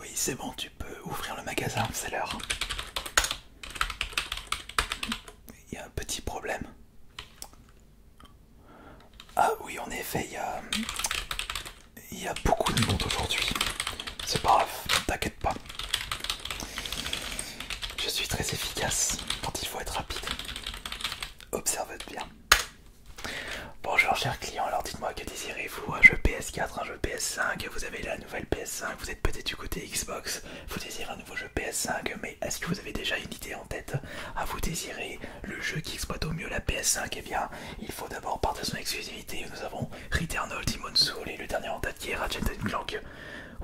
Oui, c'est bon, tu peux ouvrir le magasin, c'est l'heure. Il y a un petit problème. Ah oui, en effet, il y a, beaucoup de monde aujourd'hui. C'est pas grave, t'inquiète pas. Je suis très efficace quand il faut être rapide. Observe bien. Bonjour cher client. alors dites-moi que désirez-vous Un jeu PS4, un jeu PS5 Vous avez la nouvelle PS5, vous êtes peut-être du côté Xbox, vous désirez un nouveau jeu PS5, mais est-ce que vous avez déjà une idée en tête à vous désirer le jeu qui exploite au mieux la PS5 et eh bien, il faut d'abord partir de son exclusivité. Nous avons Return of Soul et le dernier en date qui est Ratchet Clank.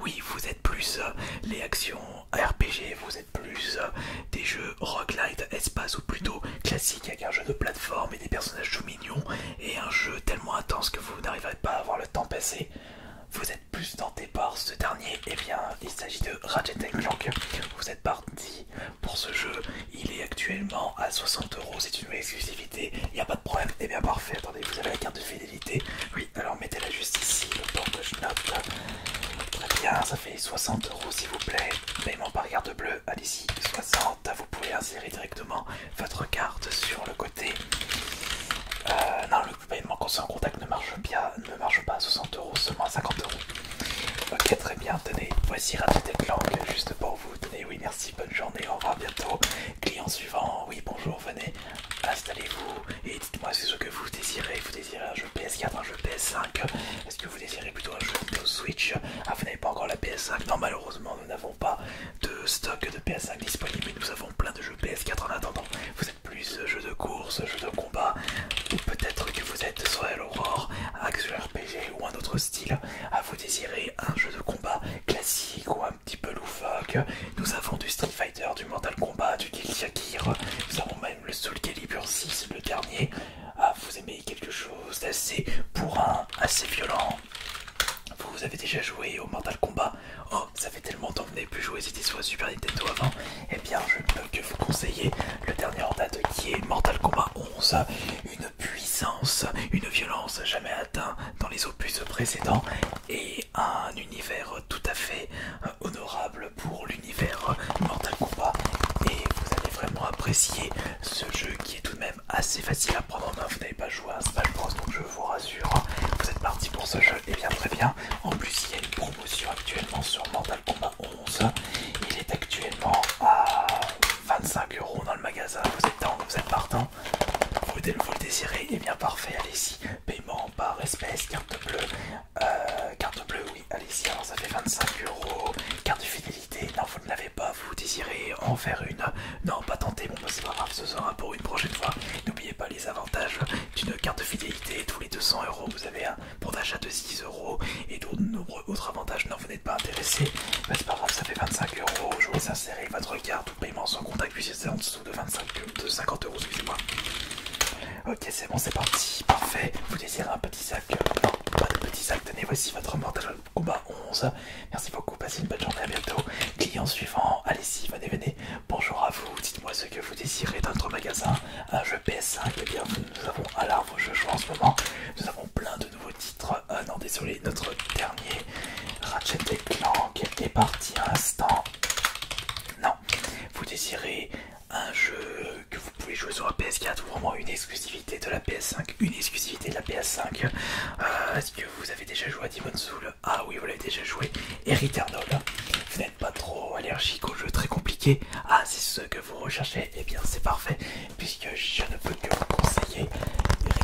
Oui, vous êtes plus euh, les actions RPG, vous êtes plus euh, des jeux roguelite espace ou plutôt classique avec un jeu de plateforme et des personnages tout mignons et un jeu tellement intense que vous n'arriverez pas à voir le temps passer. Vous êtes plus tenté par ce dernier, et eh bien il s'agit de Ratchet Clank. Vous êtes parti pour ce jeu, il est actuellement à 60 euros, c'est une exclusivité, il n'y a pas de problème, et eh bien parfait, attendez, vous avez la carte de fidélité, oui, alors mettez-la juste ici, le porte Très bien, 60 euros s'il vous plaît. Paiement par carte bleue, allez-y, 60. Vous pouvez insérer directement votre carte sur le côté. Euh, non, le paiement qu'on contact ne marche, bien, ne marche pas à 60 euros, seulement à 50 euros. Ok, très bien, tenez, voici petit Clank, juste pour vous. Tenez, oui, merci, bonne journée, au revoir bientôt. Client suivant, oui, bonjour, venez, installez-vous, et dites-moi c'est ce que vous désirez. Vous désirez un jeu PS4, un jeu PS5 Est-ce que vous désirez plutôt un jeu de Switch Ah, vous n'avez pas encore la PS5 Non, malheureusement, nous n'avons pas de stock de PS5 disponible. Nous avons plein de jeux PS4 en attendant. Vous êtes plus jeu de course, jeu de combat, ou peut-être que vous êtes à l'Aurore, Axel RPG ou un autre style. À ah, vous désirez un jeu de combat classique ou un petit peu loufoque Nous avons du Street Fighter, du Mortal Kombat, du Guilty Gear. Nous avons le Soul Calibur 6, le dernier. Ah, vous aimez quelque chose d'assez un assez violent. Vous avez déjà joué au Mortal Kombat. Oh, ça fait tellement temps que vous n'avez plus joué, c'était soit Super Nintendo avant. Eh bien, je ne peux que vous conseiller le dernier en date qui est Mortal Kombat 11. Une puissance, une violence jamais atteint dans les opus précédents et un univers tout à fait euh, honorable pour l'univers Mortal Kombat et vous allez vraiment apprécier ce jeu qui est tout de même assez facile à prendre en main. Vous n'avez pas joué à Smash Bros donc je vous rassure, vous êtes parti pour ce jeu et eh bien très bien. En plus il y a une promotion actuellement sur Mortal Kombat 11. Il est actuellement à 25 euros dans le magasin. Vous êtes temps, vous êtes partant. Vous, vous le désirez, et eh bien parfait, allez-y. Paiement par espèce, carte bleue, euh, carte bleue, oui, allez si alors ça fait 25 euros. Carte de fidélité, non, vous ne l'avez pas, vous désirez en faire une. Non, pas tenter, bon, bah, c'est pas grave, ce sera pour une prochaine fois. N'oubliez pas les avantages d'une carte de fidélité. Tous les 200 euros, vous avez un bon d'achat de 6 euros et d'autres nombreux autres avantages. Non, vous n'êtes pas intéressé, bah, c'est pas grave, ça fait 25 euros. Je vous laisse insérer votre carte ou paiement sans contact, puisque c'est en dessous de, 25, de 50 euros, excusez-moi. Ok, c'est bon, c'est parti. Parfait. Vous désirez un petit sac euh, Non, pas de petit sac. Tenez, voici votre mortal Kombat 11. Merci beaucoup. Passez une bonne journée. À bientôt. Client suivant. Allez-y, venez, venez. Bonjour à vous. Dites-moi ce que vous désirez dans notre magasin. Un jeu PS5. Eh bien, nous avons à l'arbre je joue en ce moment. Nous avons plein de nouveaux titres. Euh, non, désolé, notre dernier Ratchet Clank est parti à l'instant. Non, vous désirez un jeu que vous pouvez jouer sur la PS4, vraiment une exclusivité de la PS5, une exclusivité de la PS5. Euh, est-ce que vous avez déjà joué à Demon's Soul Ah oui, vous l'avez déjà joué. Et Returnal, vous n'êtes pas trop allergique aux jeux très compliqués. Ah, c'est ce que vous recherchez, eh bien c'est parfait, puisque je ne peux que vous conseiller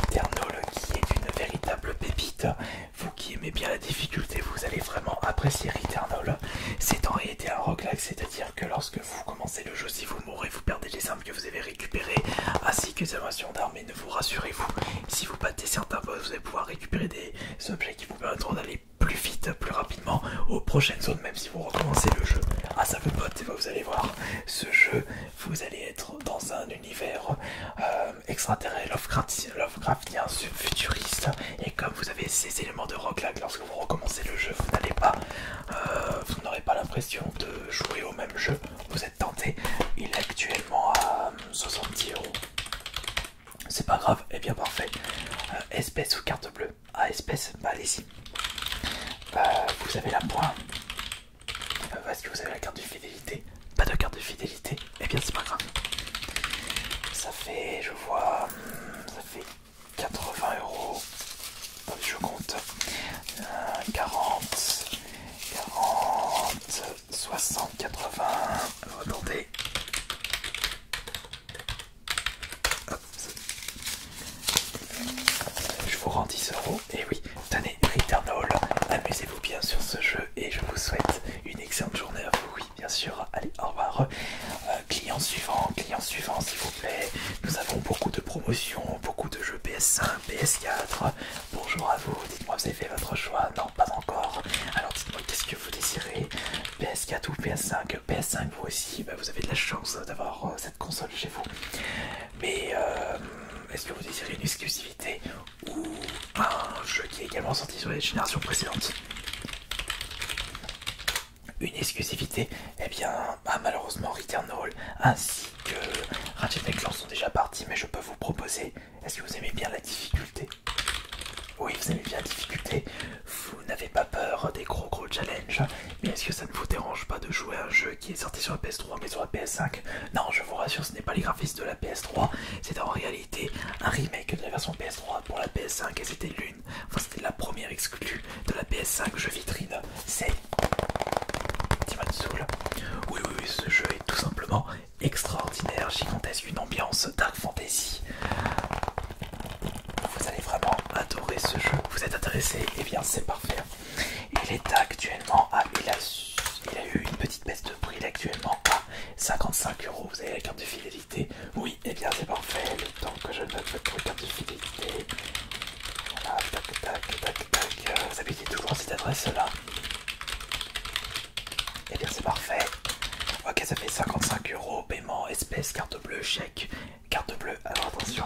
Returnal qui est une véritable pépite. Vous qui aimez bien la difficulté, vous allez vraiment apprécier Returnal. C'est en un rock roguelike, c'est-à-dire que lorsque vous commencez le jeu, si vous mourrez, vous perdez les armes que vous avez récupérées, ainsi que les inventions d'armée, ne vous rassurez-vous, si vous battez certains boss, vous allez pouvoir récupérer des objets qui vous permettront d'aller plus vite, plus rapidement aux prochaines zones, même si vous recommencez le jeu. à ah, ça vous pote, vous allez voir, ce jeu, vous allez être dans un univers euh, extraterrestre, Lovecraftien, Lovecraftien, futuriste, et comme vous avez ces éléments de roguelike lorsque vous recommencez le jeu, vous n'allez pas, euh, vous n'aurez pas l'impression de jouer au même jeu. Vous êtes tenté. Il est actuellement à 70 euh, euros. C'est pas grave, et eh bien parfait. Euh, espèce ou carte bleue Ah, espèce, bah allez-y. vous avez la pointe. Est-ce que vous avez la carte de fidélité Pas de carte de fidélité et eh bien, c'est pas grave. Ça fait, je vois, ça fait 80 euros. Je compte. 40, 40, 60, 80. Attendez. Je vous rends 10 euros. Et eh oui, tenez, Returnal. Amusez-vous bien sur ce jeu et je vous souhaite une excellente journée à vous bien sûr. Allez, au revoir. Euh, client suivant, client suivant, s'il vous plaît. Nous avons beaucoup de promotions, beaucoup de jeux PS5, PS4. Bonjour à vous. Dites-moi, vous avez fait votre choix Non, pas encore. Alors, dites-moi, qu'est-ce que vous désirez PS4 ou PS5 PS5, vous aussi. Bah, vous avez de la chance d'avoir euh, cette console chez vous. Mais euh, est-ce que vous désirez une exclusivité ou un jeu qui est également sorti sur les générations précédentes une exclusivité, eh bien bah, malheureusement malheureusement Hall ainsi que Ratchet Clank sont déjà partis, mais je peux vous proposer, est-ce que vous aimez bien la difficulté Oui, vous aimez bien la difficulté, vous n'avez pas peur des gros gros challenges, mais est-ce que ça ne vous dérange pas de jouer un jeu qui est sorti sur la PS3 mais sur la PS5 Non, je vous rassure, ce n'est pas les graphismes de la PS3, c'est en réalité un remake de la version PS3 pour la PS5 et c'était c'était la première exclue de la PS5 jeu vitrine. C'est Demon's Soul. Oui, oui, oui, ce jeu est tout simplement extraordinaire, gigantesque, une ambiance dark fantasy. Vous allez vraiment adorer ce jeu. Vous êtes intéressé Et eh bien, c'est parfait. Il est actuellement à. Il il a eu une petite baisse de prix. actuellement à 55 euros. Vous avez la carte de fidélité. Oui, et eh bien c'est parfait, le temps que je note votre carte de fidélité. Voilà, tac tac tac tac. Euh, vous habitez toujours cette adresse là. Et eh bien c'est parfait. Ok, ça fait 55 euros, paiement, espèce, carte bleue, chèque, carte bleue. Alors attention.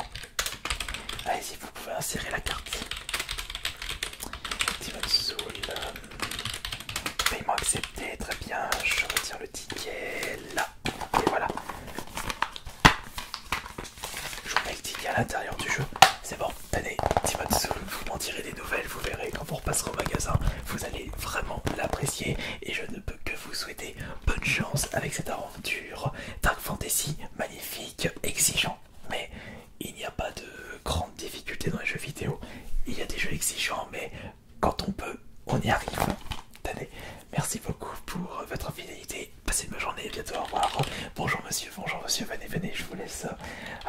Allez, y vous pouvez insérer la carte. Soul. Paiement accepté, très bien. Je retire le ticket là et voilà. Je vous mets à l'intérieur du jeu. C'est bon, tenez, soul vous m'en direz des nouvelles, vous verrez quand vous repasserez au magasin, vous allez vraiment l'apprécier et je ne peux que vous souhaiter bonne chance avec cette aventure. Dark Fantasy, magnifique, exigeant, mais il n'y a pas de grandes difficulté dans les jeux vidéo. Il y a des jeux exigeants, mais quand on peut, on y arrive. Tenez, merci beaucoup pour votre fidélité. Passez une bonne journée, bientôt au revoir. Bonjour monsieur, bonjour monsieur, venez, venez, je vous laisse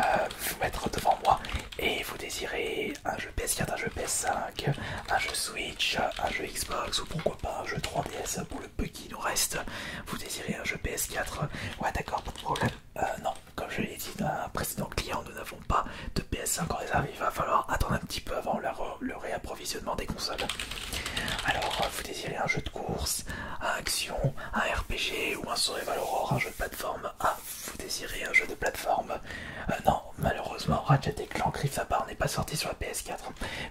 euh, vous mettre devant moi. Et vous désirez un jeu PS4, un jeu PS5, un jeu Switch, un jeu Xbox ou pourquoi pas un jeu 3DS pour le petit qui nous reste. Vous désirez un jeu PS4 Ouais d'accord, pas euh, non, comme je l'ai dit un précédent client, nous n'avons pas de PS5 en réserve. Il va falloir attendre un petit peu avant le, le réapprovisionnement visionnement des consoles. Alors, euh, vous désirez un jeu de course, un action, un RPG ou un survival horror, un jeu de plateforme Ah, vous désirez un jeu de plateforme euh, Non, malheureusement, Ratchet Clank Rift Apart n'est pas sorti sur la PS4,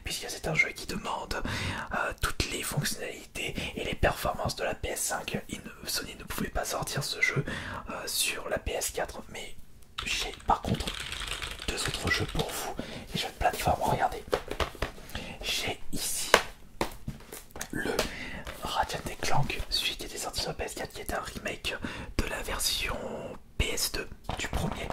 puisque c'est un jeu qui demande euh, toutes les fonctionnalités et les performances de la PS5. Sony ne pouvait pas sortir ce jeu sur la PS4, mais j'ai par contre deux autres jeux pour vous, les jeux de plateforme. Regardez, j'ai ici le Ratchet Clank, celui qui était sorti sur PS4, qui est un remake de la version PS2 du premier.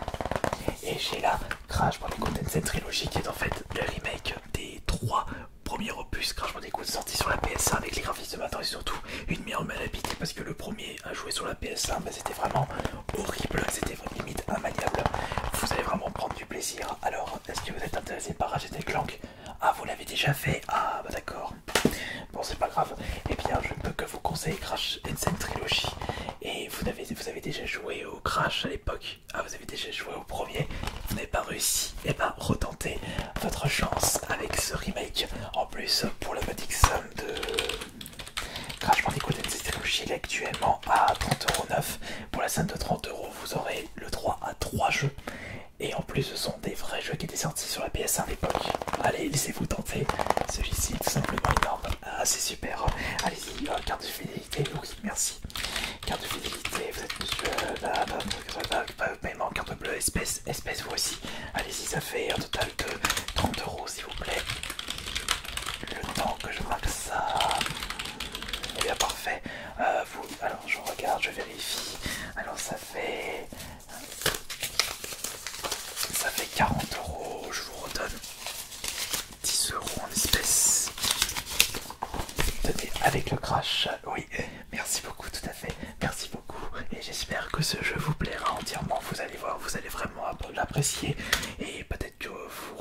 Et j'ai là Crash Bandicoot cette Trilogy, qui est en fait le remake des trois premiers opus Crash Bandicoot sortis sur la PS1 avec les graphismes de matin et surtout une meilleure malhabite parce que le premier à jouer sur la PS1, mais c'était vraiment horrible, c'était limite immaniable. Vous allez vraiment prendre du plaisir. Alors, est-ce que vous êtes intéressé par acheter Clank Ah, vous l'avez déjà fait Ah, bah d'accord. Bon, c'est pas grave. Eh bien, je ne peux que vous conseiller Crash Ensign Trilogy. Et vous avez, vous avez déjà joué au Crash à l'époque Ah, vous avez déjà joué au premier Vous n'avez pas réussi Eh ben, retentez votre chance avec ce remake. En plus, pour la modique somme de Crashman Nicodem, c'est est actuellement à 30,9€ pour la scène de 30€. Vous aurez le droit à 3 jeux et en plus, ce sont des vrais jeux qui étaient sortis sur la PS1 à l'époque. Allez, laissez-vous tenter. Celui-ci, tout simplement énorme. assez ah, c'est super. Allez-y, euh, carte de fidélité. Oui, merci. Carte de fidélité, vous êtes euh, bah, bah, bah, paiement, carte bleue, espèce, espèce, vous aussi. Allez-y, ça fait un total de 30€ s'il vous plaît. Le temps que je marque ça. Et eh bien parfait. Euh, vous... Alors je regarde, je vérifie. Alors ça fait... Ça fait 40 euros. Je vous redonne 10 euros en espèces. Tenez, avec le crash. Oui, merci beaucoup, tout à fait. Merci beaucoup. Et j'espère que ce jeu vous plaira entièrement. Vous allez voir, vous allez vraiment l'apprécier et peut-être que vous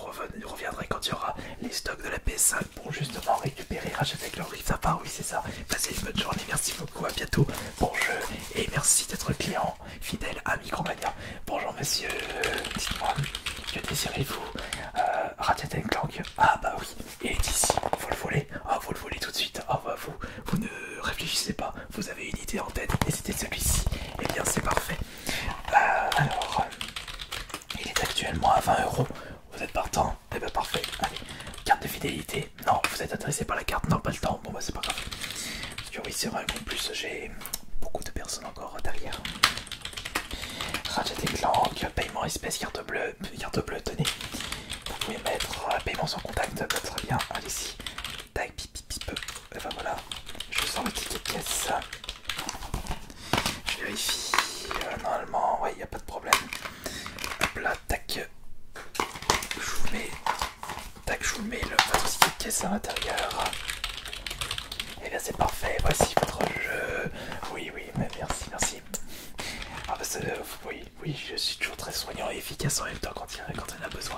reviendrez quand il y aura les stocks de la PS5 pour justement récupérer, racheter avec leur rift oui c'est ça. Passez une bonne journée, merci beaucoup, à bientôt, bonjour et merci d'être client fidèle à Micromania. Bonjour monsieur, dites-moi, que désirez-vous euh, Ratchet Clank Ah bah oui, et d'ici, ici, faut le voler, ah vous le voler oh, tout de suite, ah vous, vous ne réfléchissez pas, vous avez une idée en tête, et de celui-ci, et eh bien c'est parfait. Euh, alors, euh, il est actuellement à 20 euros. Vous êtes partant Eh bien parfait. Allez, carte de fidélité. Non, vous êtes intéressé par la carte, non, pas le temps. Bon, bah c'est pas grave. Parce que oui, c'est vrai plus j'ai beaucoup de personnes encore derrière. Ratchet et Clank, paiement espèce, carte bleue, carte bleue, tenez. Vous pouvez mettre euh, paiement sans contact, très bien, allez-y. Et ben voilà, je sors le ticket de caisse. Je vérifie. Euh, normalement, ouais, il n'y a pas de problème. Hop là, tac. Je vous mets, je vous mets le, votre ticket de caisse à l'intérieur. Et eh bien c'est parfait, voici votre jeu. Oui, oui, merci, merci. Ah, bah, euh, oui, oui, je suis toujours très soignant et efficace en même temps quand il, quand en a besoin.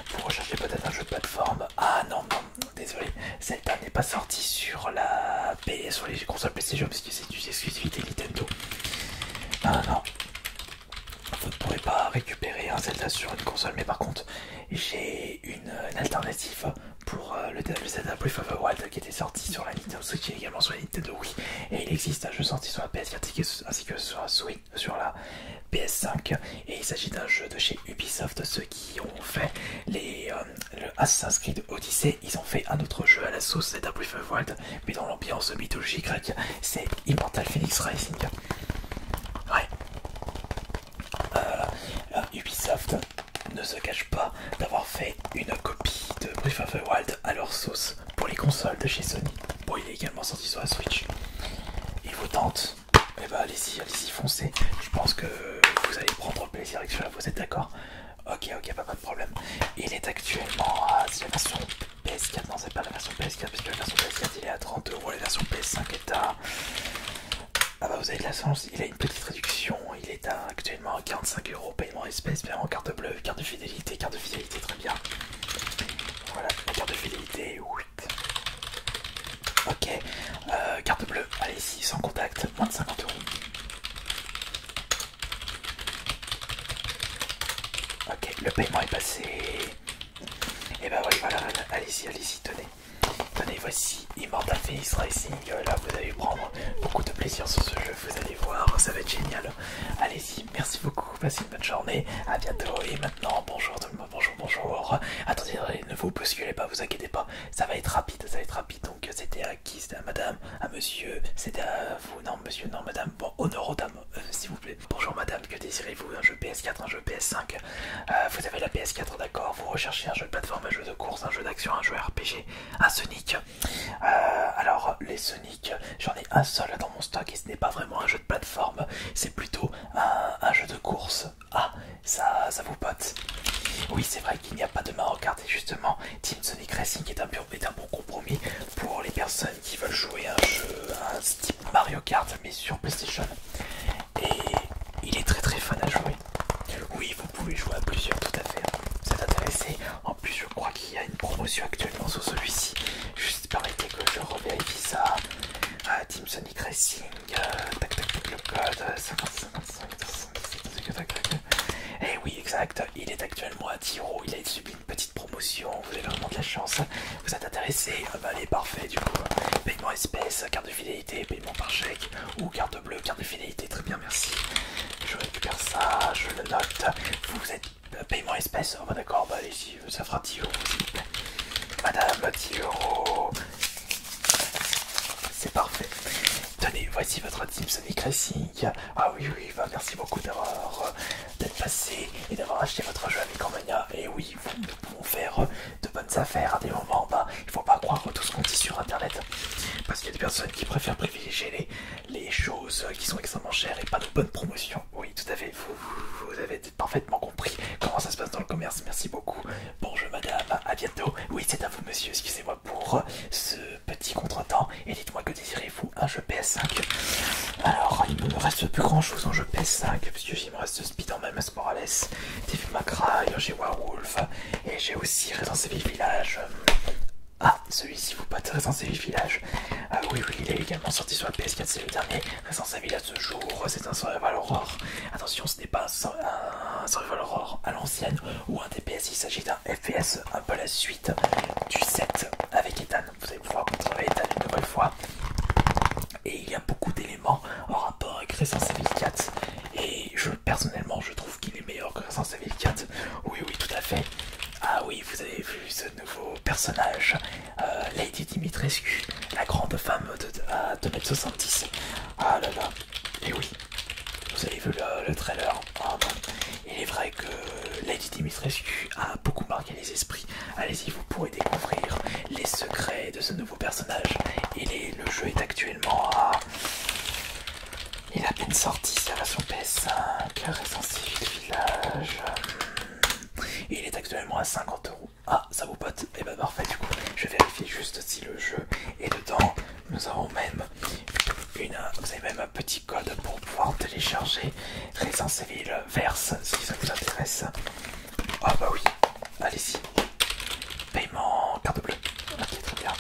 vous recherchez peut-être un jeu de plateforme. Ah non, non, désolé. Zelda n'est pas sorti sur la PS, sur les consoles PlayStation parce que c'est une exclusivité Nintendo. Ah non. Vous ne pourrez pas récupérer un Zelda sur une console, mais par contre, j'ai une, alternative pour euh, le, DLC Zelda Breath qui était sorti sur la Nintendo Switch et également sur la Nintendo Wii. Et il existe un jeu sorti sur la ps ainsi que sur la Switch sur la PS5 et il s'agit d'un jeu de chez Ubisoft ceux qui ont fait les euh, Assassin's Creed Odyssey ils ont fait un autre jeu à la sauce c'est Brief World mais dans l'ambiance mythologie grecque c'est Immortal Phoenix Rising ouais euh, euh, Ubisoft ne se cache pas d'avoir fait une copie de Brief of the Wild à leur sauce pour les consoles de chez Sony. pour il est également sorti sur la Switch. Il vous tente et eh bah ben, allez-y, allez-y, foncez. Je pense que vous allez prendre plaisir avec cela, vous êtes d'accord Ok, ok, pas, de problème. Il est actuellement à la version PS4, non, c'est pas la version PS4, parce que la version PS4 il est à 30€, la version PS5 est à. Ah bah vous avez de la chance, il a une petite réduction, il est actuellement à 45 paiement en espèces, paiement en carte bleue, carte de fidélité, carte de fidélité, très bien. Voilà, la carte de fidélité, oui, Ok, euh, carte bleue, allez-y, sans contact, moins de 50 euros. Ok, le paiement est passé. Et eh bah ben oui, voilà, allez-y, allez-y, tenez. Tenez, voici Immortal sera Racing. Euh, là, vous allez prendre beaucoup de plaisir sur ce jeu, vous allez voir, ça va être génial. Allez-y, merci beaucoup, passez une bonne journée, à bientôt. Et maintenant, bonjour tout le monde bonjour, bonjour. Attendez, euh, ne vous bousculez pas, vous inquiétez pas. Ça va être rapide, ça va être rapide. Donc euh, c'était à qui C'était à madame, à monsieur, c'était à vous, non monsieur, non madame. Bon, honneur aux euh, s'il vous plaît. Bonjour madame, que désirez-vous Un jeu PS4, un jeu PS5 Vous avez la PS4, d'accord Vous recherchez un jeu de plateforme, un jeu de course, un jeu d'action, un jeu RPG, un Sonic Alors, les Sonic, j'en ai un seul dans mon stock et ce n'est pas vraiment un jeu de plateforme, c'est plutôt un jeu de course ah, ça, ça vous pote Oui, c'est vrai qu'il n'y a pas de Mario Kart, et Justement, Team Sonic Racing est un, bon compromis pour les personnes qui veulent jouer un jeu un type Mario Kart, mais sur PlayStation. Et il est très très fun à jouer. Oui, vous pouvez jouer à plusieurs, tout à fait. C'est intéressant. En plus, je crois qu'il y a une promotion actuellement sur celui-ci. Juste permettez que je revérifie ça. à Team Sonic. Sonic Et oui, exact, il est actuellement à 10 il a subi une petite promotion, vous avez vraiment de la chance, vous êtes intéressé, bah, allez, parfait du coup, paiement espèce, carte de fidélité, paiement par chèque ou carte bleue, carte de fidélité, très bien, merci. Je récupère ça, je le note, vous êtes paiement espèce, bah d'accord, bah allez-y, ça fera Madame, 10 euros. C'est parfait. Tenez, voici votre team Sonic Racing. Ah oui, oui, va, bah, merci beaucoup d'avoir d'être passé et d'avoir acheté votre jeu avec Mania. Et oui, nous pouvons faire de bonnes affaires à des moments. il bah, il faut pas croire tout ce qu'on dit sur internet. Parce qu'il y a des personnes qui préfèrent privilégier les, choses qui sont extrêmement chères et pas de bonnes promotions. Oui, tout à fait, vous, vous avez parfaitement compris comment ça se passe dans le commerce. Merci beaucoup. Bonjour madame, à bientôt. Oui, c'est à vous monsieur, excusez-moi pour euh, ce petit contretemps. Et dites-moi que désirez-vous un jeu PS5 Alors, il ne me reste plus grand-chose en jeu PS5, puisque il me reste Spider-Man Mask Morales, Devil May j'ai Wolf, et j'ai aussi Resident Evil Village. Ah, celui-ci vous pas Resident Evil Village. Ah oui, oui, il est également sorti sur la PS4, c'est le dernier. Sans à ce jour, c'est un survival horror. Attention, ce n'est pas un survival horror à l'ancienne ou un DPS, il s'agit d'un FPS, un peu la suite du 7 avec Ethan. Vous allez voir contrôler Ethan une nouvelle fois. Et il y a beaucoup d'éléments en rapport avec Resident 4. Et je personnellement, je trouve qu'il est meilleur que Resident Evil 4. Oui, oui, tout à fait. Ah oui, vous avez vu ce nouveau personnage euh, Lady Dimitrescu, la grande femme de, de, ah, m Ah là là, et oui, vous avez vu le, trailer. Ah, bah. Il est vrai que Lady Dimitrescu a beaucoup marqué les esprits. Allez-y, vous pourrez découvrir les secrets de ce nouveau personnage. Et le jeu est actuellement à. Il est à peine sorti, sa version PS5, récensif village. Hmm. Il est actuellement à 50 euros. Ah, ça vous pote Et eh ben parfait, du coup, je vérifie juste si le jeu est dedans. Nous avons même une, vous avez même un petit code pour pouvoir télécharger Resident Civil Verse si ça vous intéresse. Ah bah oui, allez-y. Paiement carte bleue. Ok, très bien.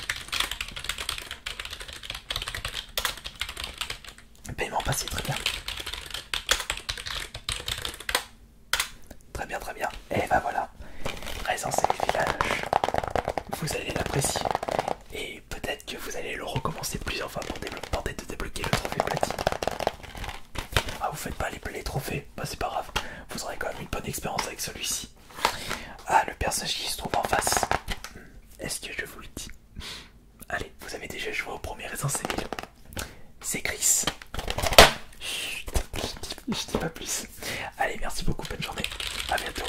Paiement passé, très bien. Très bien, très bien. Et ben voilà, Raison et Village. Vous allez l'apprécier. Et peut-être que vous allez le recommencer plusieurs fois pour tenter de débloquer le trophée platine. Ah, vous faites pas les, les trophées, bah c'est pas grave. Vous aurez quand même une bonne expérience avec celui-ci. Ah, le personnage qui se trouve en face. Hmm. Est-ce que je vous le dis Allez, vous avez déjà joué au premier Raison village c'est Chris. je, dis, pas plus. Allez, merci beaucoup, bonne journée, à bientôt.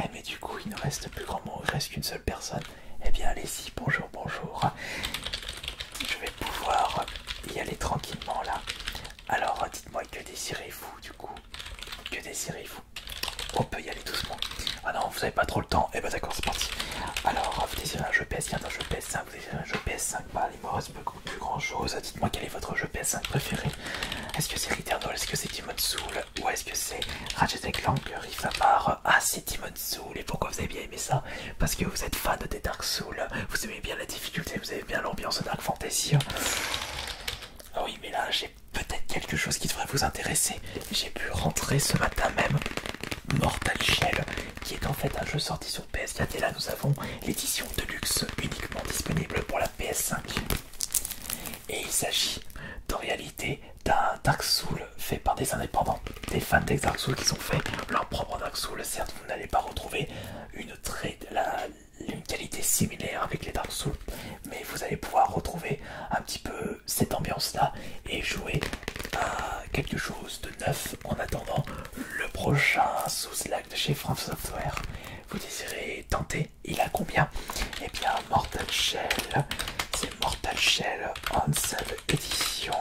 Eh mais du coup il ne reste plus grand monde, il reste qu'une seule personne. Eh bien allez-y, bonjour, bonjour. Je vais pouvoir y aller tranquillement là. Alors dites-moi que désirez-vous du coup Que désirez-vous On peut y aller doucement. Ah non, vous n'avez pas trop le temps. Eh ben d'accord, c'est parti. Alors vous désirez un jeu ps viens, je 5 vous désirez un jeu PS5, bah il me plus grand chose. Dites-moi quel est votre jeu PS5 préféré. Est-ce que c'est Returnal Est-ce que c'est Demon's Soul Ou est-ce que c'est Ratchet Clank Riff Apart Ah, c'est Demon's Soul. Et pourquoi vous avez bien aimé ça Parce que vous êtes fan des Dark Souls. Vous aimez bien la difficulté, vous aimez bien l'ambiance Dark Fantasy. Ah oui, mais là, j'ai peut-être quelque chose qui devrait vous intéresser. J'ai pu rentrer ce matin même Mortal Shell qui est en fait un jeu sorti sur PS4 et là nous avons l'édition de luxe uniquement disponible pour la PS5. Et il s'agit en réalité d'un Dark Souls fait par des indépendants, des fans de Dark Souls qui ont fait leur propre Dark Souls. Certes, vous n'allez pas retrouver une, très, une qualité similaire avec les Dark Souls, mais vous allez pouvoir retrouver un petit peu cette ambiance là et jouer à quelque chose de en attendant le prochain sous-slack de chez France Software. Vous désirez tenter Il a combien Eh bien, Mortal Shell, c'est Mortal Shell seule édition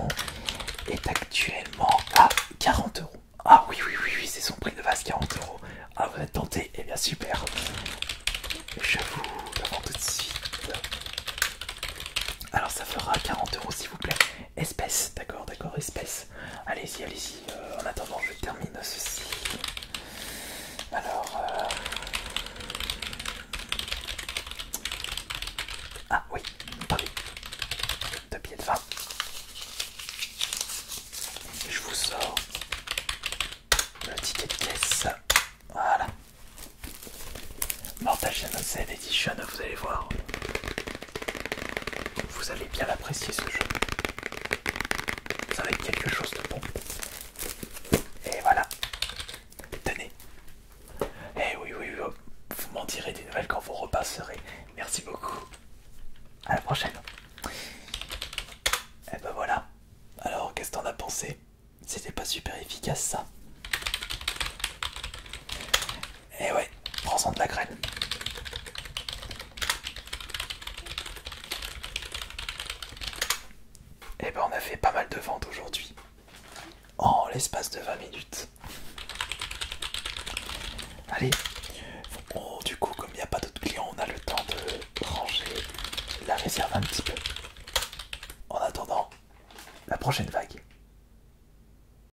est actuellement à 40 euros. Ah oui, oui, oui, oui c'est son prix de base 40 euros. Ah, vous êtes tenté Eh bien, super Je vous le tout de suite. Alors, ça fera 40 euros, s'il vous plaît. Espèce, d'accord, d'accord, espèce. Allez-y, allez-y. Euh, en attendant, je termine ceci. Alors. Euh, ah oui, pardon. Deux billets de fin. Je vous sors le ticket de caisse. Voilà. Mortal scène Edition, vous allez voir. Vous allez bien l'apprécier ce jeu. Ça va être quelque chose de bon. Et voilà. Tenez. Eh oui, oui, oui. Vous m'en direz des nouvelles quand vous repasserez. Merci beaucoup. À la prochaine. Et eh ben voilà. Alors, qu'est-ce que t'en as pensé C'était pas super efficace ça. Et eh ouais, prends-en de la graine. Et eh ben on a fait pas mal de ventes aujourd'hui. En l'espace de 20 minutes. Allez. Oh, du coup, comme il n'y a pas d'autres clients, on a le temps de ranger la réserve un petit peu. En attendant, la prochaine vague.